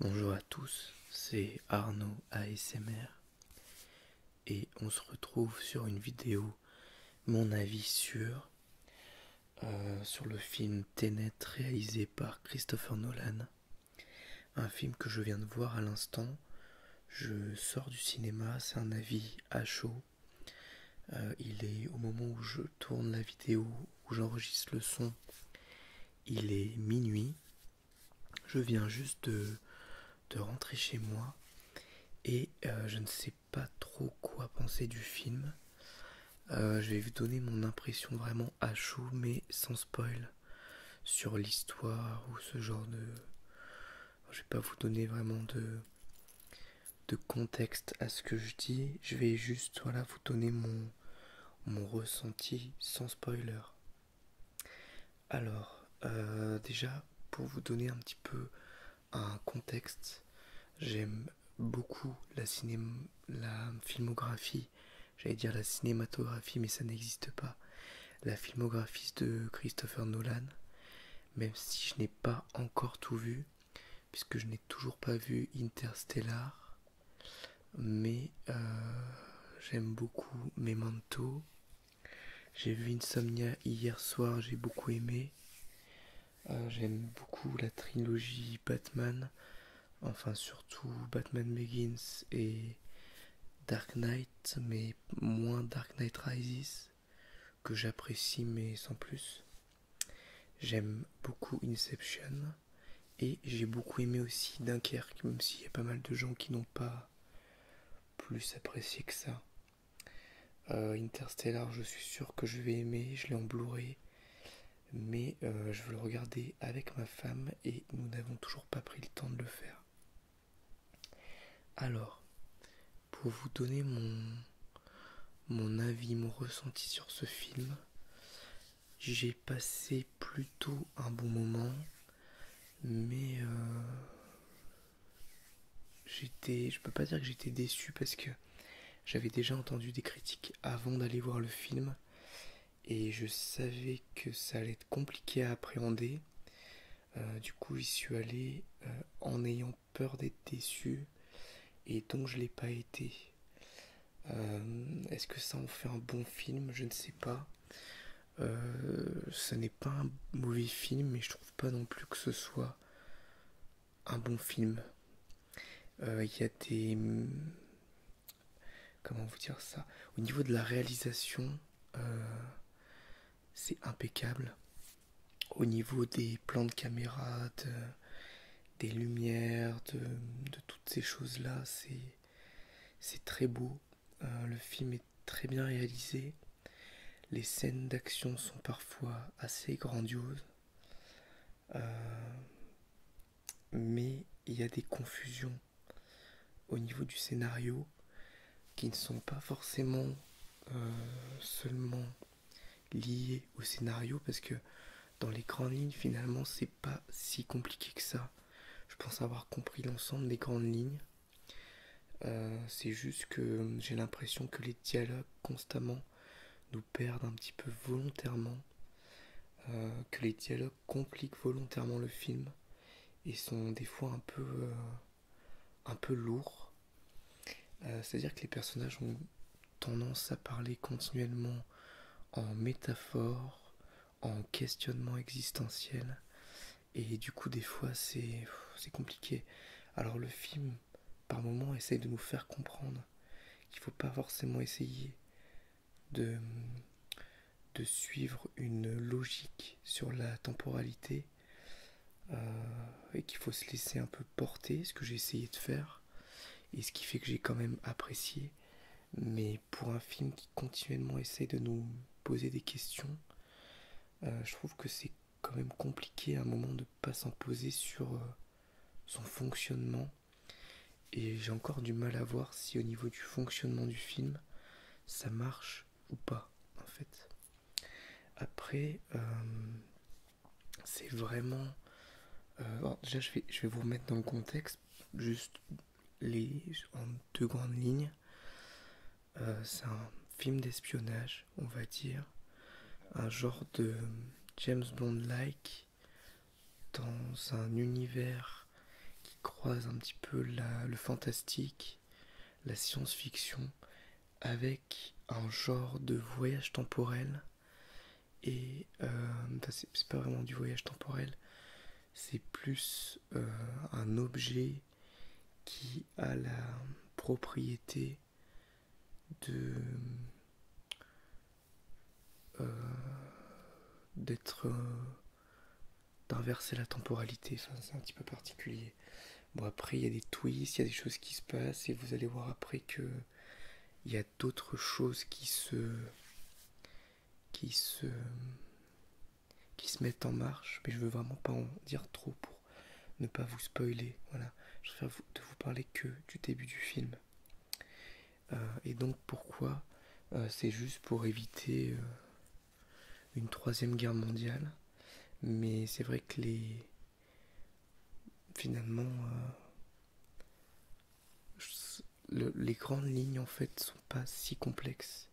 Bonjour à tous, c'est Arnaud ASMR et on se retrouve sur une vidéo, mon avis sur, euh, sur le film Tenet réalisé par Christopher Nolan. Un film que je viens de voir à l'instant, je sors du cinéma, c'est un avis à chaud. Euh, il est au moment où je tourne la vidéo, où j'enregistre le son, il est minuit. Je viens juste de, rentrer chez moi et euh, je ne sais pas trop quoi penser du film. Euh, je vais vous donner mon impression vraiment à chaud mais sans spoil sur l'histoire ou ce genre de... Je vais pas vous donner vraiment de, contexte à ce que je dis, je vais juste voilà, vous donner mon, mon ressenti sans spoiler. Alors, euh, déjà, pour vous donner un petit peu un contexte, j'aime beaucoup la, cinéma, la filmographie J'allais dire la cinématographie, mais ça n'existe pas. La filmographie de Christopher Nolan, même si je n'ai pas encore tout vu, puisque je n'ai toujours pas vu Interstellar, mais euh, j'aime beaucoup mes manteaux J'ai vu Insomnia hier soir, j'ai beaucoup aimé. Euh, j'aime beaucoup la trilogie Batman, enfin surtout Batman Begins et Dark Knight, mais moins Dark Knight Rises, que j'apprécie mais sans plus. J'aime beaucoup Inception et j'ai beaucoup aimé aussi Dunkerque, même s'il y a pas mal de gens qui n'ont pas plus apprécié que ça. Euh, Interstellar, je suis sûr que je vais aimer, je l'ai en blu mais euh, je veux le regarder avec ma femme et nous n'avons toujours pas pris le temps de le faire. Alors, pour vous donner mon, mon avis, mon ressenti sur ce film, j'ai passé plutôt un bon moment, mais je euh, j'étais, je peux pas dire que j'étais déçu parce que j'avais déjà entendu des critiques avant d'aller voir le film et je savais que ça allait être compliqué à appréhender. Euh, du coup, j'y suis allé euh, en ayant peur d'être déçu et donc je l'ai pas été. Euh, est-ce que ça en fait un bon film Je ne sais pas. Ce n'est pas un mauvais film, mais je trouve pas non plus que ce soit un bon film. Il y a des comment vous dire ça Au niveau de la réalisation, euh, c'est impeccable. Au niveau des plans de caméra, des lumières, de, toutes ces choses-là, c'est très beau. Euh, le film est très bien réalisé. Les scènes d'action sont parfois assez grandioses. Euh, mais il y a des confusions au niveau du scénario qui ne sont pas forcément euh, seulement liés au scénario parce que dans les grandes lignes finalement c'est pas si compliqué que ça je pense avoir compris l'ensemble des grandes lignes euh, c'est juste que j'ai l'impression que les dialogues constamment nous perdent un petit peu volontairement euh, que les dialogues compliquent volontairement le film et sont des fois un peu, euh, un peu lourds. Euh, c'est-à-dire que les personnages ont tendance à parler continuellement en métaphore, en questionnement existentiel. Et du coup, des fois, c'est compliqué. Alors le film, par moment essaye de nous faire comprendre qu'il ne faut pas forcément essayer de, suivre une logique sur la temporalité euh, et qu'il faut se laisser un peu porter, ce que j'ai essayé de faire et ce qui fait que j'ai quand même apprécié. Mais pour un film qui continuellement essaye de nous poser des questions, euh, je trouve que c'est quand même compliqué à un moment de ne pas poser sur euh, son fonctionnement et j'ai encore du mal à voir si au niveau du fonctionnement du film, ça marche ou pas, en fait. Après, euh, c'est vraiment... Euh, déjà, je vais, je vais vous remettre dans le contexte, juste les, en deux grandes lignes. Euh, c'est un film d'espionnage, on va dire. Un genre de James Bond-like dans un univers qui croise un petit peu la, le fantastique, la science-fiction, avec un genre de voyage temporel. Et euh, c'est pas vraiment du voyage temporel, c'est plus euh, un objet qui a la propriété de euh, d'être. Euh, d'inverser la temporalité. ça c'est un petit peu particulier. Bon, après, il y a des twists, il y a des choses qui se passent, et vous allez voir après que. Il y a d'autres choses qui se. qui se. qui se mettent en marche, mais je veux vraiment pas en dire trop pour ne pas vous spoiler. Voilà, je préfère vous parler que du début du film. Euh, et donc pourquoi euh, C'est juste pour éviter euh, une troisième guerre mondiale. Mais c'est vrai que les... Finalement, les grandes lignes en fait sont pas si complexes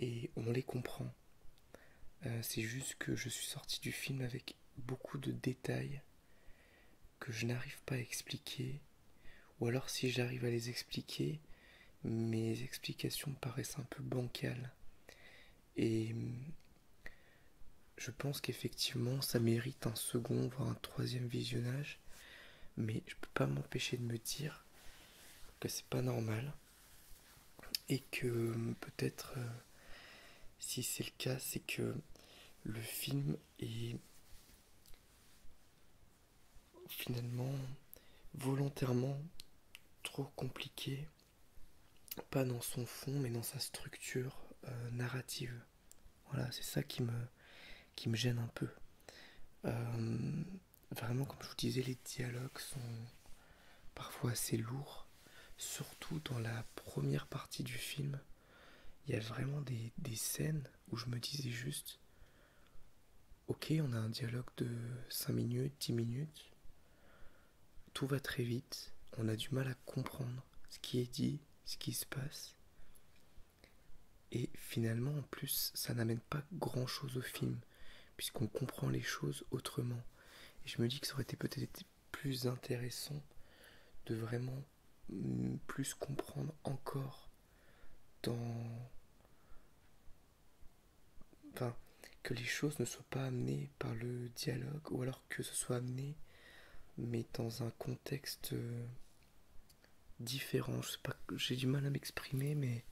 et on les comprend. c'est juste que je suis sorti du film avec beaucoup de détails que je n'arrive pas à expliquer, ou alors si j'arrive à les expliquer, mes explications paraissent un peu bancales. Et je pense qu'effectivement ça mérite un second, voire un troisième visionnage, mais je peux pas m'empêcher de me dire que c'est pas normal et que peut-être euh, si c'est le cas c'est que le film est finalement volontairement trop compliqué, pas dans son fond mais dans sa structure euh, narrative. Voilà, c'est ça qui me, gêne un peu. Euh, vraiment, comme je vous disais, les dialogues sont parfois assez lourds, surtout dans la première partie du film il y a vraiment des, scènes où je me disais juste ok on a un dialogue de 5 minutes 10 minutes tout va très vite on a du mal à comprendre ce qui est dit ce qui se passe et finalement en plus ça n'amène pas grand chose au film puisqu'on comprend les choses autrement et je me dis que ça aurait été peut-être plus intéressant de vraiment Mm, plus comprendre encore dans... Enfin, que les choses ne soient pas amenées par le dialogue, ou alors que ce soit amené, mais dans un contexte euh, différent. Je sais pas, j'ai du mal à m'exprimer, mais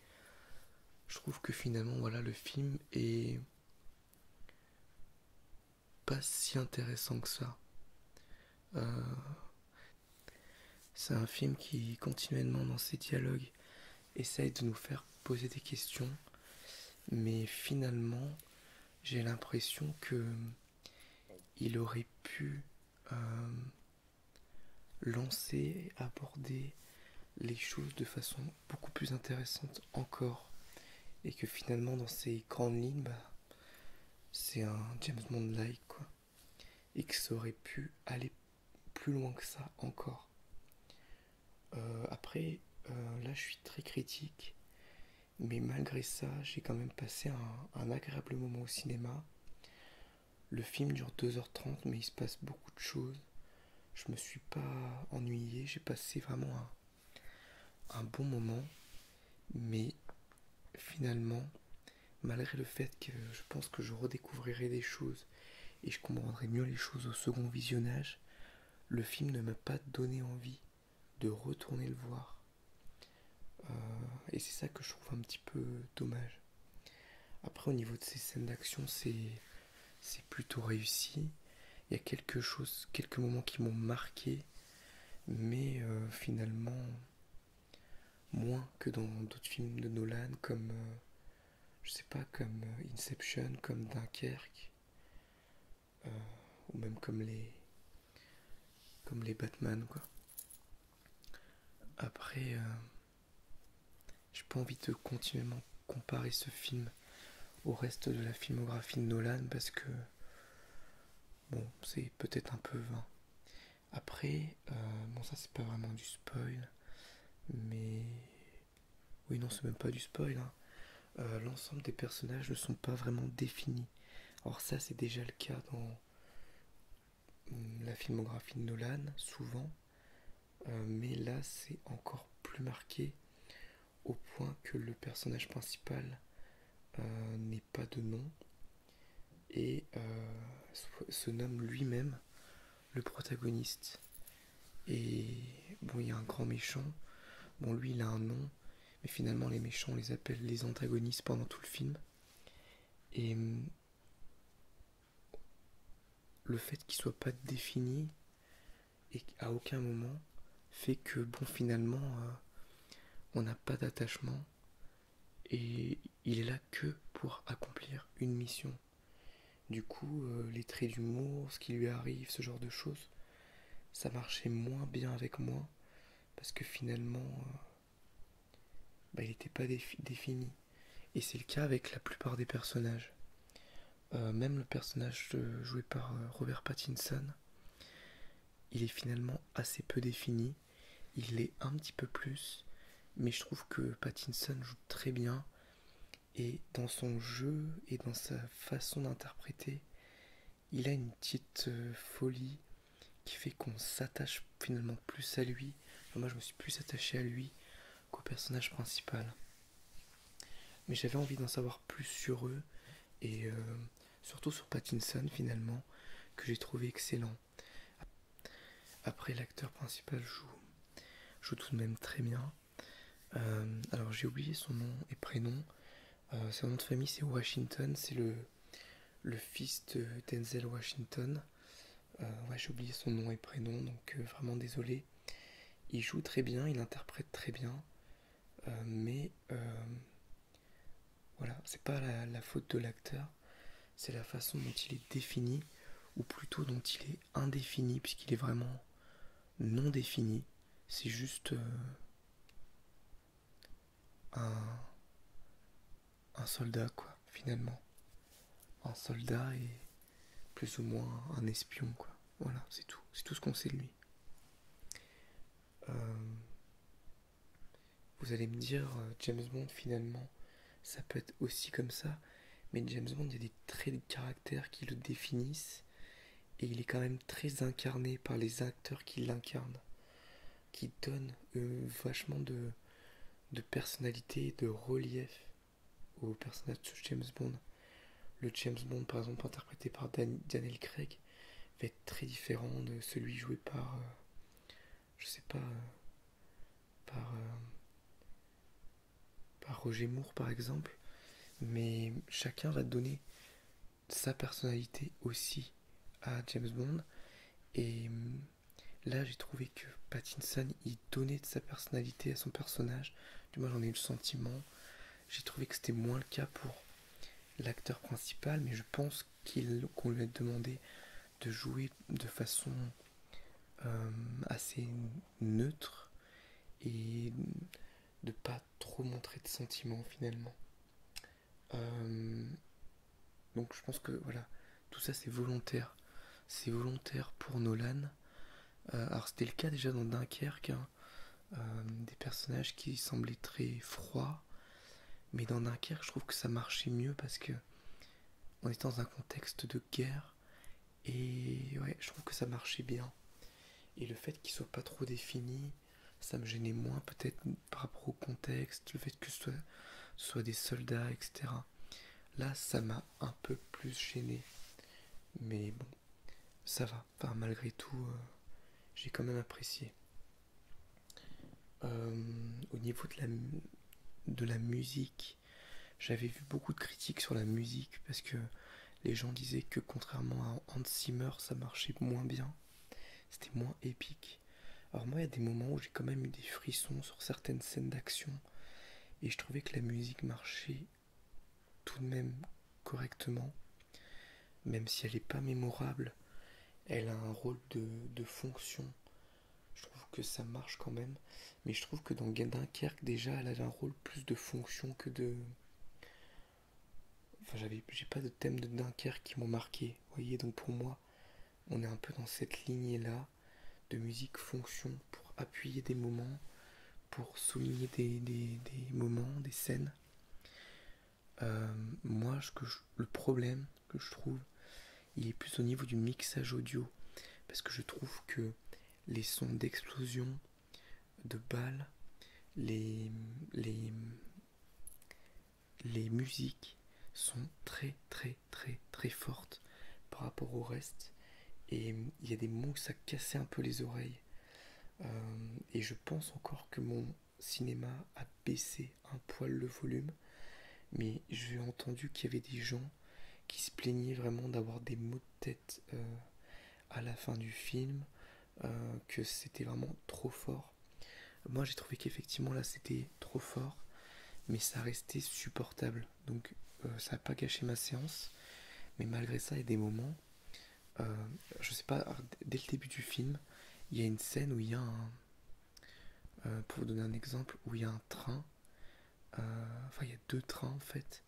je trouve que finalement, voilà, le film est pas si intéressant que ça. Euh, c'est un film qui, continuellement dans ses dialogues, essaye de nous faire poser des questions, mais finalement, j'ai l'impression que il aurait pu euh, lancer lancer, aborder les choses de façon beaucoup plus intéressante encore, et que finalement, dans ses grandes lignes, bah, c'est un James Bond-like, quoi. Et que ça aurait pu aller plus loin que ça encore. Euh, après, euh, là, je suis très critique. Mais malgré ça, j'ai quand même passé un, agréable moment au cinéma. Le film dure 2h30, mais il se passe beaucoup de choses. Je me suis pas ennuyé, j'ai passé vraiment un bon moment mais finalement, malgré le fait que je pense que je redécouvrirai des choses et je comprendrai mieux les choses au second visionnage, le film ne m'a pas donné envie de retourner le voir. Euh, et c'est ça que je trouve un petit peu dommage. Après, au niveau de ces scènes d'action, c'est plutôt réussi. Il y a quelque chose, quelques moments qui m'ont marqué, mais euh, finalement, Moins que dans d'autres films de Nolan, comme, euh, je sais pas, comme euh, Inception, comme Dunkerque, euh, ou même comme les, comme les Batman, quoi. Après, j'ai pas envie de continuellement comparer ce film au reste de la filmographie de Nolan parce que Bon, c'est peut-être un peu vain. Après, euh, bon, ça c'est pas vraiment du spoil, mais. Oui, non, c'est même pas du spoil. Hein. Euh, l'ensemble des personnages ne sont pas vraiment définis. Alors, ça c'est déjà le cas dans mm, la filmographie de Nolan, souvent, euh, mais là c'est encore plus marqué au point que le personnage principal n'est n'est pas de nom et euh, se nomme lui-même le protagoniste. Et bon, il y a un grand méchant. Bon, lui, il a un nom, mais finalement, les méchants, on les appelle les antagonistes pendant tout le film. Et hum, le fait qu'il soit pas défini et à aucun moment fait que, bon, finalement, euh, on n'a pas d'attachement et il est là que pour accomplir une mission. Du coup, euh, les traits d'humour, ce qui lui arrive, ce genre de choses, ça marchait moins bien avec moi parce que finalement, euh, bah, il n'était pas défini. Et c'est le cas avec la plupart des personnages. Euh, même le personnage joué par Robert Pattinson, il est finalement assez peu défini. Il l'est un petit peu plus, mais je trouve que Pattinson joue très bien. Et dans son jeu et dans sa façon d'interpréter, il a une petite euh, folie qui fait qu'on s'attache finalement plus à lui. moi, je me suis plus attaché à lui qu'au personnage principal. Mais j'avais envie d'en savoir plus sur eux et euh, surtout sur Pattinson finalement que j'ai trouvé excellent. Après l'acteur principal joue, joue tout de même très bien. Euh, alors j'ai oublié son nom et prénom. Euh, son nom de famille c'est Washington, c'est le, le fils de Denzel Washington. j'ai oublié son nom et prénom, donc vraiment désolé. Il joue très bien, il interprète très bien, mais voilà, c'est pas la, faute de l'acteur, c'est la façon dont il est défini, ou plutôt dont il est indéfini, puisqu'il est vraiment non défini. C'est juste euh, un soldat, quoi, finalement. Un soldat et plus ou moins un espion, quoi. Voilà, c'est tout. C'est tout ce qu'on sait de lui. Euh, vous allez me dire, euh, James Bond finalement, ça peut être aussi comme ça, mais James Bond, il y a des traits de caractère qui le définissent, et il est quand même très incarné par les acteurs qui l'incarnent, qui donnent euh, vachement de, de personnalité, de relief au personnage de James Bond. Le James Bond, par exemple, interprété par Daniel Craig, va être très différent de celui joué par, euh, je sais pas, euh, par, euh, par Roger Moore par exemple. Mais chacun va donner sa personnalité aussi à James Bond. Et mm, là, j'ai trouvé que Pattinson, il donnait de sa personnalité à son personnage. Du moins, j'en ai eu le sentiment. J'ai trouvé que c'était moins le cas pour l'acteur principal, mais je pense qu'on lui a demandé de jouer de façon euh, assez neutre et de pas trop montrer de sentiments finalement. Euh, donc je pense que voilà, tout ça c'est volontaire. C'est volontaire pour Nolan. Euh, alors c'était le cas déjà dans Dunkerque, hein. Hein. Euh, des personnages qui semblaient très froids, mais dans Dunkerque, je trouve que ça marchait mieux parce que on est dans un contexte de guerre et ouais, je trouve que ça marchait bien. Et le fait qu'ils soient pas trop définis, ça me gênait moins peut-être par rapport au contexte, le fait que ce soit, ce soit des soldats, etc. Là, ça m'a un peu plus gêné, mais bon, ça va malgré tout, euh, j'ai quand même apprécié. Euh, au niveau de la, de la musique, j'avais vu beaucoup de critiques sur la musique parce que les gens disaient que contrairement à Hans Zimmer, ça marchait moins bien. C'était moins épique. Alors moi, il y a des moments où j'ai quand même eu des frissons sur certaines scènes d'action et je trouvais que la musique marchait tout de même correctement, même si elle n'est pas mémorable, elle a un rôle de, fonction. Je trouve que ça marche quand même, mais je trouve que dans Dunkerque, déjà, elle a un rôle plus de fonction que de. Enfin, j'ai pas de thème de Dunkerque qui m'ont marqué, voyez, donc pour moi, on est un peu dans cette lignée-là de musique fonction pour appuyer des moments, pour souligner des moments, des scènes. Euh, moi, le problème que je trouve, il est plus au niveau du mixage audio. Parce que je trouve que les sons d'explosion, de balles, les, les, musiques sont très très très très fortes par rapport au reste. Et il y a des mots que ça cassait un peu les oreilles. Euh, et je pense encore que mon cinéma a baissé un poil le volume, mais j'ai entendu qu'il y avait des gens qui se plaignaient vraiment d'avoir des maux de tête euh, à la fin du film, euh, que c'était vraiment trop fort. Moi j'ai trouvé qu'effectivement là c'était trop fort, mais ça restait supportable, donc euh, ça n'a pas gâché ma séance, mais malgré ça il y a des moments euh, je sais pas, dès le début du film, il y a une scène où il y a un. Euh, pour vous donner un exemple, où il y a un train, euh, enfin il y a deux trains en fait,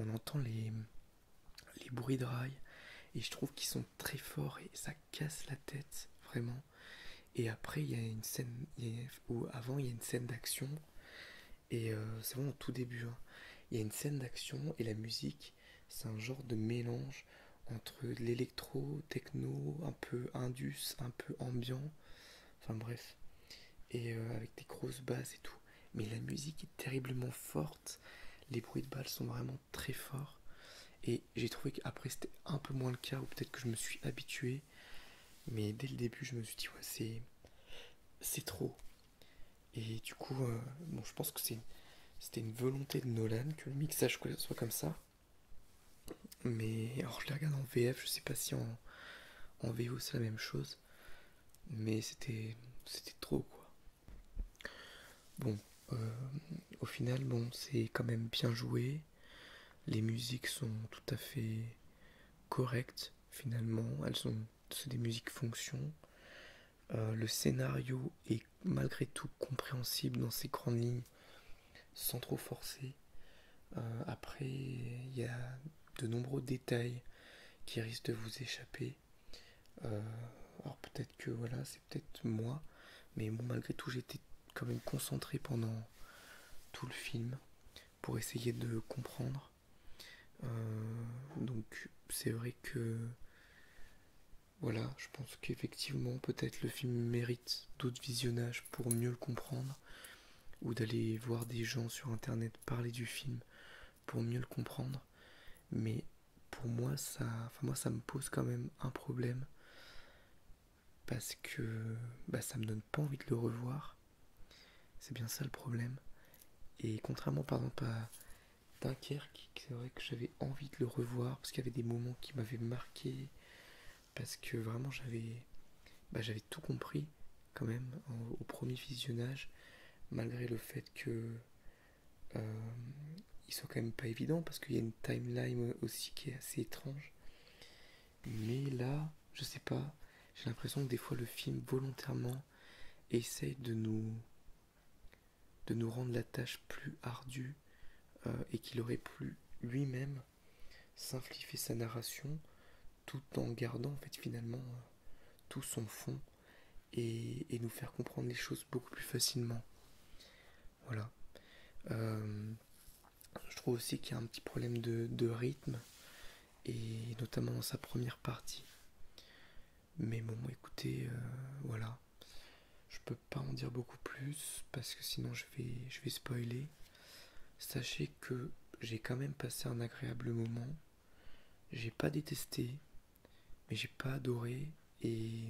on entend les, les bruits de rails et je trouve qu'ils sont très forts et ça casse la tête vraiment. Et après il y a une scène, ou avant il y a une scène d'action et c'est vraiment au tout début, hein. il y a une scène d'action et la musique c'est un genre de mélange entre l'électro, techno, un peu indus, un peu ambiant, enfin bref, et euh, avec des grosses basses et tout. Mais la musique est terriblement forte, les bruits de balles sont vraiment très forts, et j'ai trouvé qu'après c'était un peu moins le cas, ou peut-être que je me suis habitué, mais dès le début je me suis dit, ouais, c'est trop. Et du coup, euh, je pense que c'était une volonté de Nolan que le mixage soit comme ça. Mais alors je la regarde en VF, je sais pas si en, VO c'est la même chose. Mais c'était c'était trop quoi. Bon, euh, au final, bon, c'est quand même bien joué. Les musiques sont tout à fait correctes finalement. Elles sont, c'est des musiques fonction. Euh, le scénario est malgré tout compréhensible dans ses grandes lignes, sans trop forcer. Euh, après, il y a de nombreux détails qui risquent de vous échapper. Euh, alors peut-être que voilà, c'est peut-être moi, mais bon, malgré tout, j'étais quand même concentré pendant tout le film pour essayer de comprendre. Euh, donc c'est vrai que voilà, je pense qu'effectivement peut-être le film mérite d'autres visionnages pour mieux le comprendre, ou d'aller voir des gens sur internet parler du film pour mieux le comprendre. Mais pour moi ça, me pose quand même un problème parce que bah, ça me donne pas envie de le revoir. C'est bien ça le problème. Et contrairement par exemple Dunkerque, c'est vrai que j'avais envie de le revoir parce qu'il y avait des moments qui m'avaient marqué, parce que vraiment j'avais bah, tout compris quand même au premier visionnage, malgré le fait que ils euh, il quand même pas évident parce qu'il y a une timeline aussi qui est assez étrange. Mais là, je sais pas, j'ai l'impression que des fois le film volontairement essaye de nous de nous rendre la tâche plus ardue euh, et qu'il aurait pu lui-même simplifier sa narration tout en gardant en fait finalement euh, tout son fond et, nous faire comprendre les choses beaucoup plus facilement. Voilà. Euh, je trouve aussi qu'il y a un petit problème de rythme et notamment dans sa première partie. Mais bon, écoutez, euh, voilà. Je peux pas en dire beaucoup plus parce que sinon je vais, je vais spoiler. Sachez que j'ai quand même passé un agréable moment. J'ai pas détesté, mais j'ai pas adoré. Et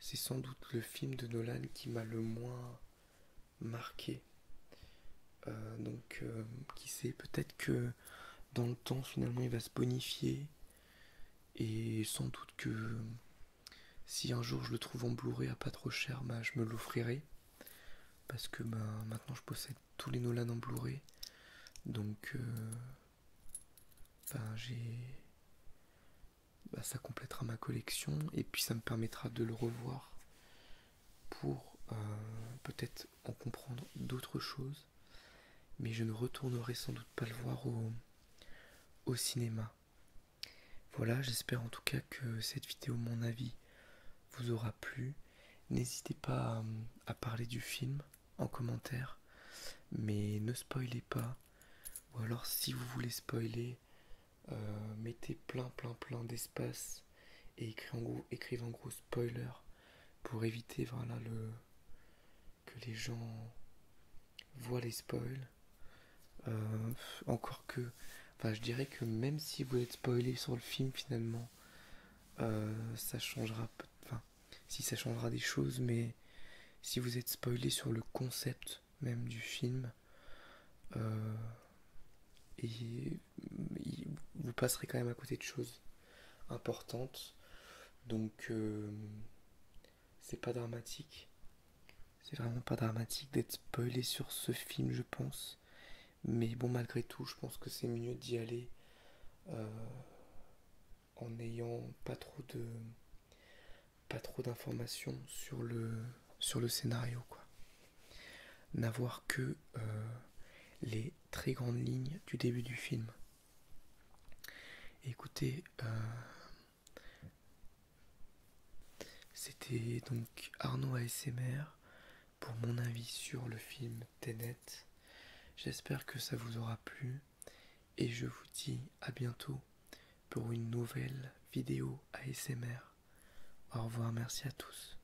c'est sans doute le film de Nolan qui m'a le moins marqué. Euh, donc, euh, qui sait, peut-être que dans le temps finalement il va se bonifier et sans doute que si un jour je le trouve en Blu-ray à pas trop cher bah, je me l'offrirai parce que bah, maintenant je possède tous les Nolan en Blu-ray donc euh, j'ai bah, ça complétera ma collection et puis ça me permettra de le revoir pour euh, peut-être en comprendre d'autres choses, mais je ne retournerai sans doute pas le voir au, au cinéma. Voilà, j'espère en tout cas que cette vidéo, mon avis, vous aura plu. N'hésitez pas à, parler du film en commentaire, mais ne spoilez pas. Ou alors si vous voulez spoiler, euh, mettez plein plein plein d'espace et écrivent en gros, spoilers gros spoiler pour éviter voilà, le, que les gens voient les spoils. Euh, encore que, enfin, je dirais que même si vous êtes spoilé sur le film, finalement, euh, ça changera. Enfin, si ça changera des choses, mais si vous êtes spoilé sur le concept même du film, euh, et vous passerez quand même à côté de choses importantes. Donc, euh, c'est pas dramatique. C'est vraiment pas dramatique d'être spoilé sur ce film, je pense. Mais bon, malgré tout, je pense que c'est mieux d'y aller euh, en n'ayant pas trop de pas trop d'informations sur le sur le scénario quoi n'avoir que euh, les très grande ligne du début du film. écoutez, euh, c'était donc Arnaud ASMR pour mon avis sur le film Tenet. J'espère que ça vous aura plu et je vous dis à bientôt pour une nouvelle vidéo ASMR. Au revoir, merci à tous.